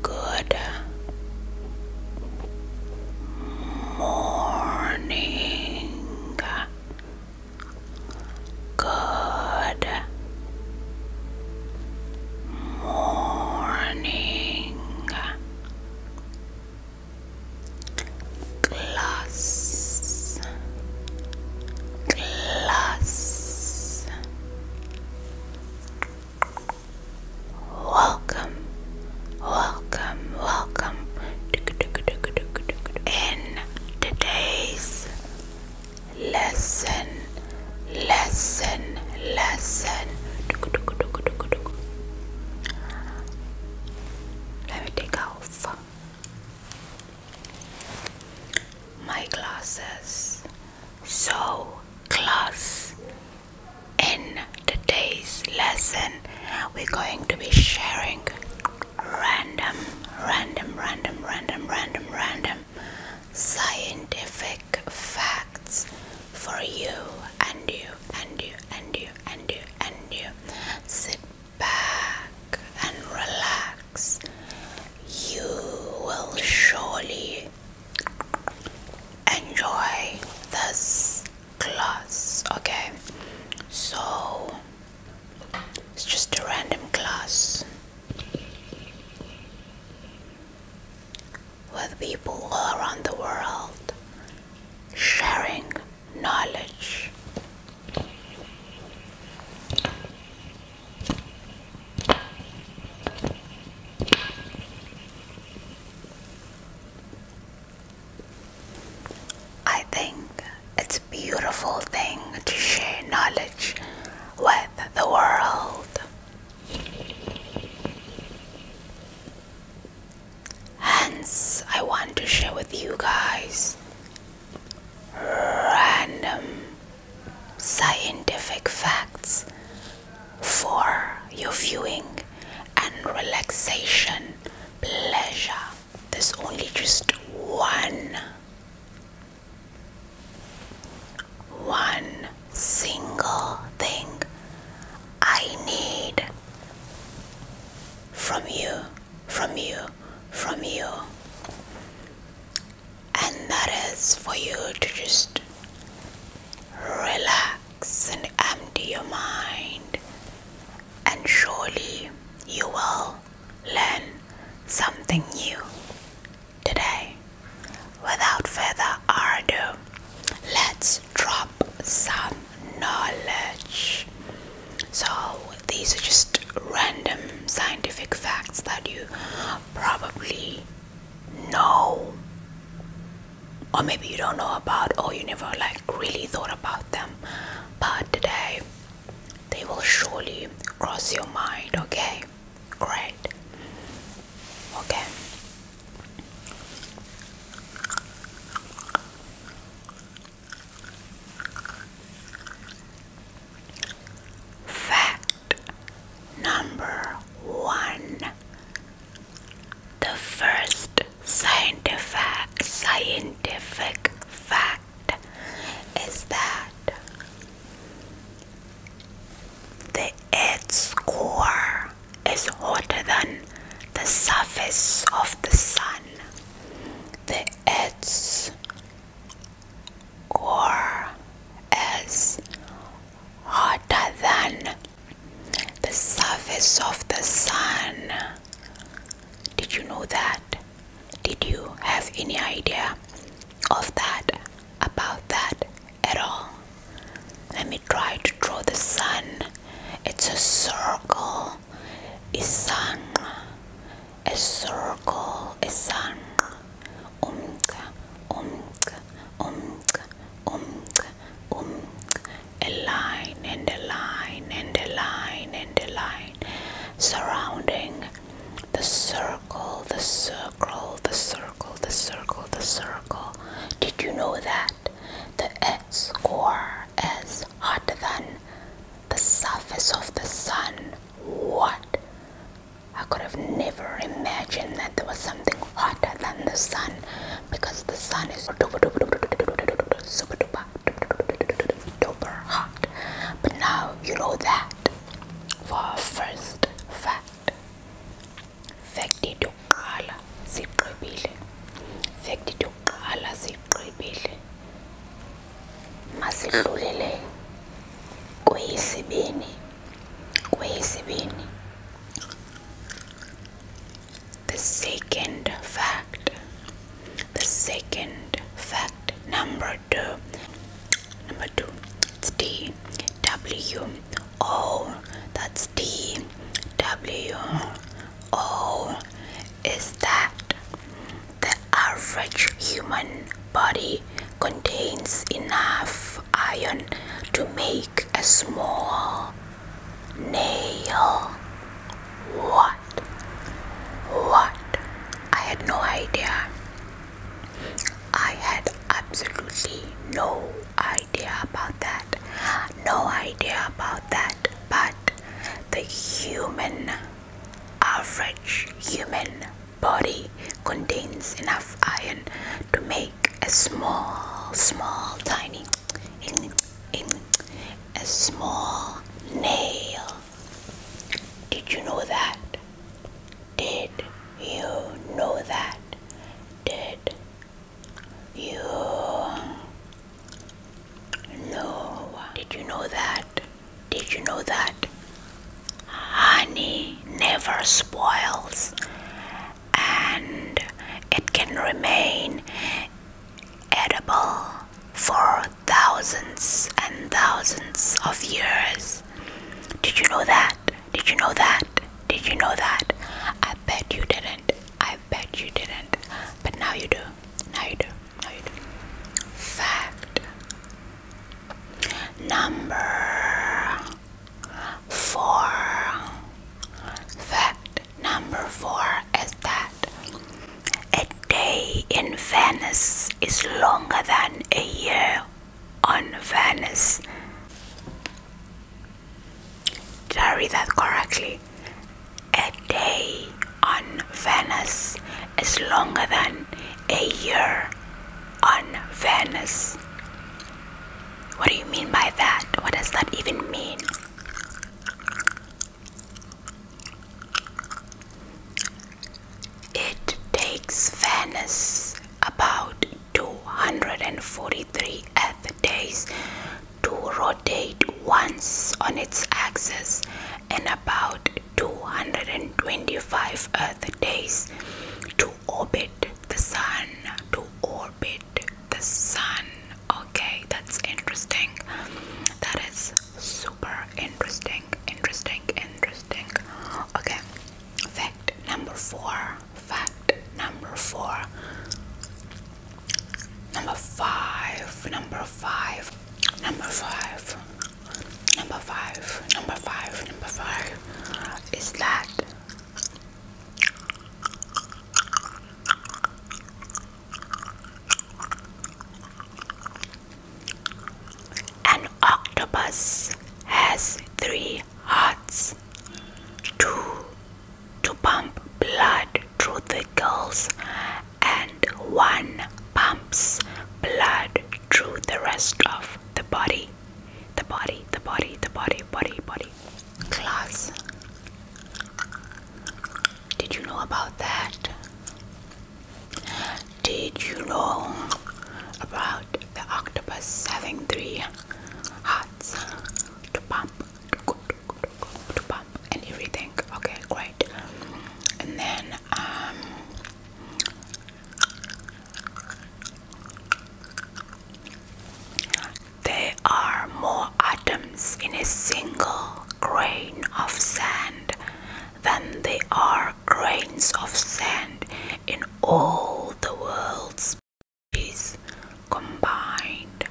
Good morning. Good morning. Class class. Welcome, welcome, welcome. In today's lesson, lesson, lesson. Let me take off my classes so class in today's lesson we're going to be sharing random random random random random random scientific facts for you and you and you and you and you and you back and relax, you will surely enjoy this class. Okay, so it's just a random class with people all around the world sharing knowledge. I think it's a beautiful thing to share knowledge with the world. Hence, I want to share with you guys random scientific facts for your viewing and relaxation pleasure. There's only just one, one single thing I need from you from you, from you. And that is for you to just relax and empty your mind. And surely you will learn something new today. Without further ado, let's drop some knowledge. So, these are just random scientific facts that you probably know, or maybe you don't know about, or you never like really thought about them. But today, they will surely cross your mind, okay? Great. Okay. Fact number one The first scientific, scientific fact is that the Earth's core is hotter than the surface of the sun the ads were as hotter than the surface of the sun. Did you know that? Did you have any idea of that, about that at all? Let me try to draw the sun. It's a circle a circle a, umca umca umca umca umca a line and a line and a line and a line surrounding the circle the circle the circle the circle the circle did you know that the X core is hotter than the surface of the sun. What? I could have never imagined that there was something hotter than the sun because the sun is super duper, duper hot. But now you know that for our first fact. Facty Fact yokuqala sigqibile. Fact yokuqala sigqibile. Masidlulele kweyesibini. Kweyesibini. The second fact. The second fact number 2. Number 2. It's D W O that's S D W O is that the average human body contains enough iron to make a small nail. What? What? I had no idea. I had absolutely no idea idea about that. No idea about that. But the human, average human body contains enough iron to make a small, small, tiny, a small nail. Did you know that? Did you know that? Did you know, did you know that? Did you know that? Honey never spoils and it can remain edible for thousands and thousands of years. Did you know that? Did you know that? Did you know that? I bet you didn't. I bet you didn't, but now you do. Now you do. Now you do. Fact number four. Fact number four is that a day in Venice is longer than a year on Venice. Did I read that correctly? A day on Venus is longer than a year on Venus. What do you mean by that? What does that even mean? It takes Venus about 243 earth days to rotate once on its axis and about 225 earth days to orbit the sun to orbit the sun okay that's interesting that is super interesting interesting interesting okay fact number 4 fact number four. Number five, number five, number five, number five, number five, number five is that an octopus has three hearts. 2. To pump blood through the gills, and 1 pumps blood through the rest of the body. The body, the body, the body, body, body. Class. Did you know about that? Did you know about the octopus having three hearts to pump to pump and everything okay great and then um, there are more atoms in a single grain of sand than there are grains of sand in all the world's is combined.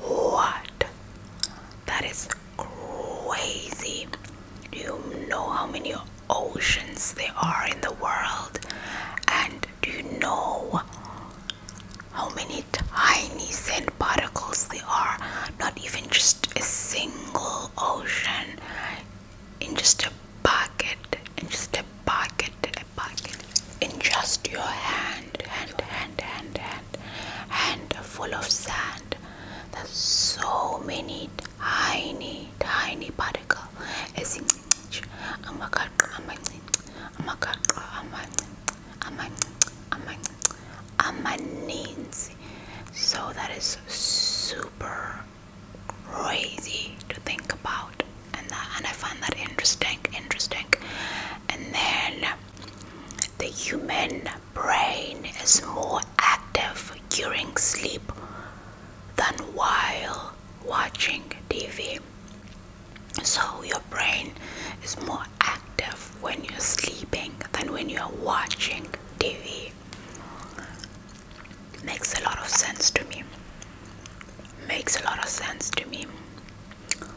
What? That is crazy. Do you know how many oceans there are in the world? And do you know how many tiny sand particles there are? Not even just a single ocean in just a bucket, in just a bucket, a bucket, in just your hand, hand, hand, hand, hand, hand full of sand. There's so many tiny, tiny particles. So that is super crazy to think about and I find that interesting interesting and then the human brain is more active during sleep than while watching TV so your brain is more active when you're sleeping than when you're watching TV makes a lot of sense to me. Makes a lot of sense to me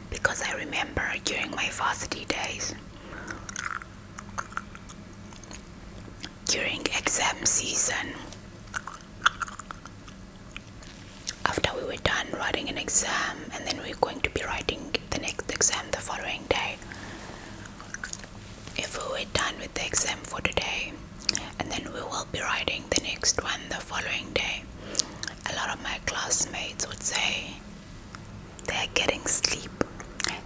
because I remember during my varsity days, during exam season, after we were done writing an exam, and then we we're going to be writing the next exam the following day, if we are done with the exam for today and then we will be writing the next one the following day a lot of my classmates would say they're getting sleep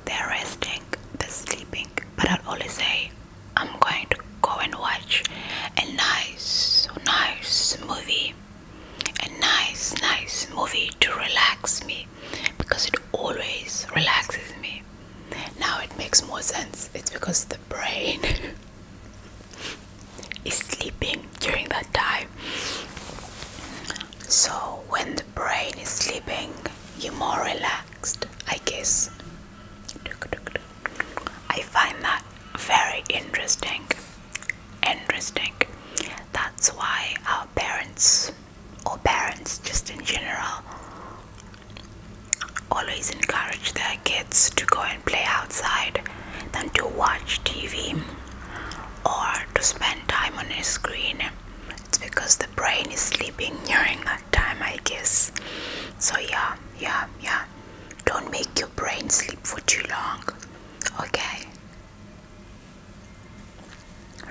they're resting they're sleeping but i'd always say i'm going to go and watch a nice nice movie a nice nice movie to relax me because it always relaxes me now it makes more sense it's because the brain is sleeping during that time so when the brain is sleeping you're more relaxed i guess i find that very interesting interesting that's why our parents or parents just in general always encourage their kids to go and play outside than to watch TV or to spend time on a screen. It's because the brain is sleeping during that time, I guess. So, yeah, yeah, yeah. Don't make your brain sleep for too long, okay?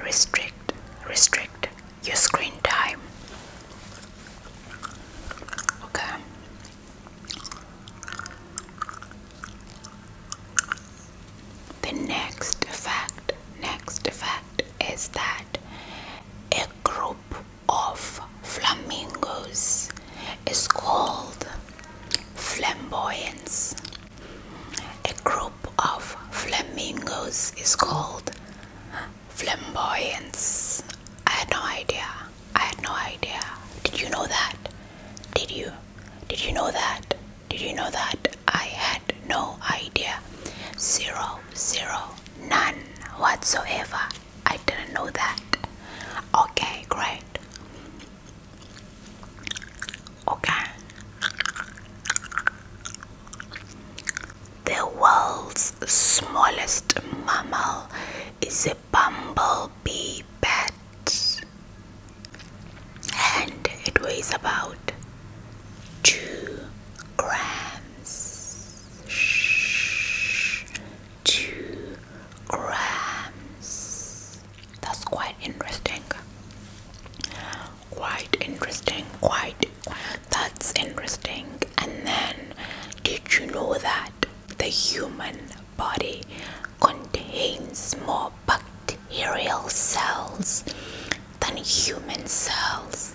Restrict, restrict, your screen time. Okay. The next fact, next fact is that a group of flamingos is called flamboyance. A group of flamingos is called flamboyance. I had no idea. I had no idea. Did you know that? Did you? Did you know that? Did you know that? I had no idea. Zero, zero, none whatsoever. I didn't know that. Okay, great okay? The world's smallest mammal is a bumblebee bat, and it weighs about two grams. Shh, two grams. That's quite interesting quite interesting quite that's interesting and then did you know that the human body contains more bacterial cells than human cells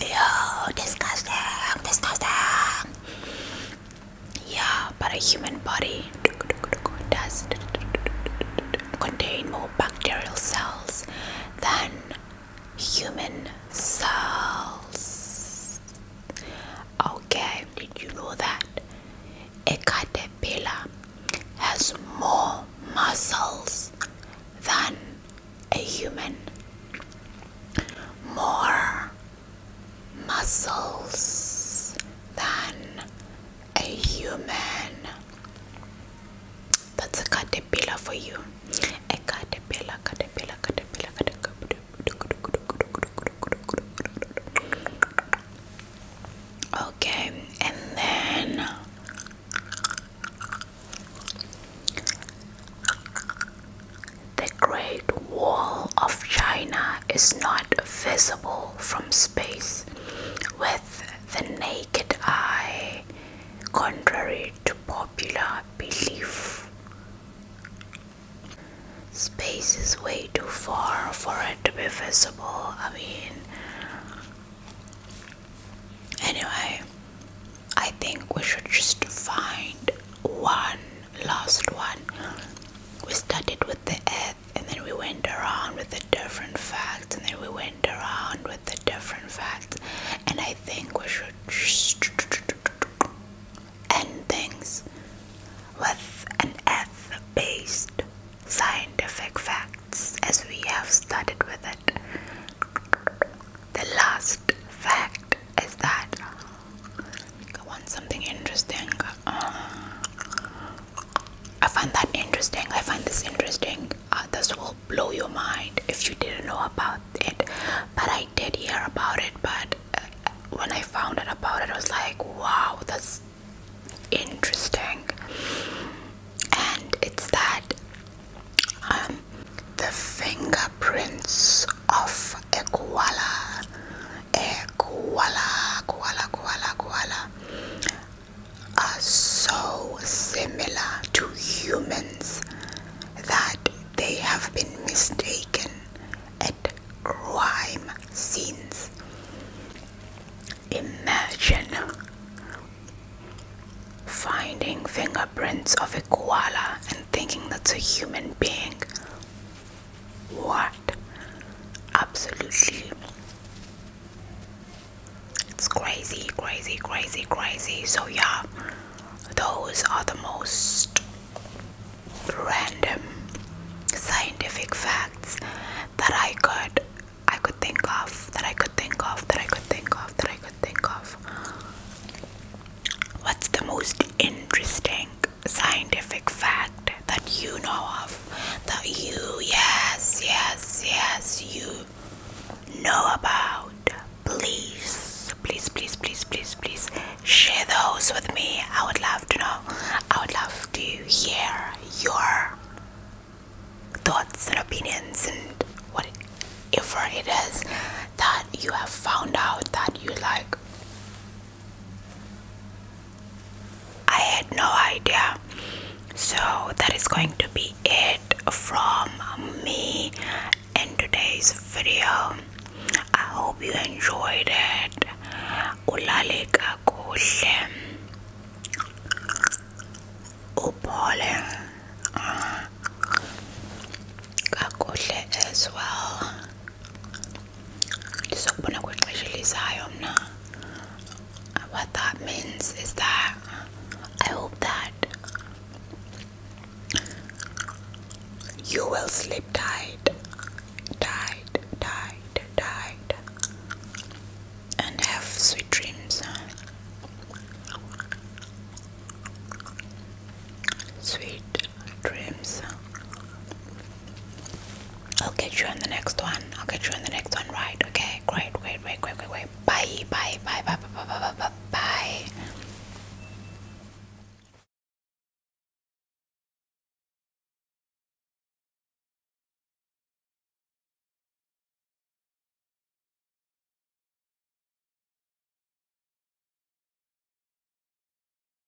Ew, disgusting disgusting yeah but a human body does contain more bacterial cells than human cells. Okay, did you know that a caterpillar has more muscles than a human? More muscles than a human. That's a caterpillar for you. A caterpillar, caterpillar, caterpillar, caterpillar. Okay, and then the Great Wall of China is not visible from space. Where the naked eye, contrary to popular belief. Space is way too far for it to be visible. I mean, anyway, I think we should just find one last one. We started with the and then we went around with the different facts and then we went around with the different facts and I think we should end things with an F based scientific facts as we have started with it. The last fact is that I want something interesting. Uh, I find that interesting. I find this interesting. Uh, this will blow your mind if you didn't know about it. But I did hear about it. But uh, when I found out about it, I was like, wow, that's interesting. And it's that um, the fingerprints of a koala, koala, koala, koala, koala are so similar to humans that they have been mistaken at crime scenes. Imagine finding fingerprints of a koala and thinking that's a human being. What? Absolutely. It's crazy, crazy, crazy, crazy. So, yeah, those are the most random scientific facts that I could I could think of that I could think of that I could think of that I could think of. What's the most interesting scientific fact that you know of. That you, yes, yes, yes, you know about. Please, please, please, please, please, please share those with me. I would love to know. I would love to hear your thoughts and opinions and whatever it is that you have found out that you like I had no idea. So, that is going to be it from me in today's video. I hope you enjoyed it. Ulale kakuhle. Upole. Ah. Kakuhle as well. Sokhona kwexesha mna what that means is that I hope that you will sleep tight, tight, tight, tight, and have sweet dreams. Sweet dreams. I'll get you on the next one. I'll get you on the next one, right? Okay, great, great, great, great, great, great. Bye, bye, bye, bye, bye, bye, bye, bye, bye.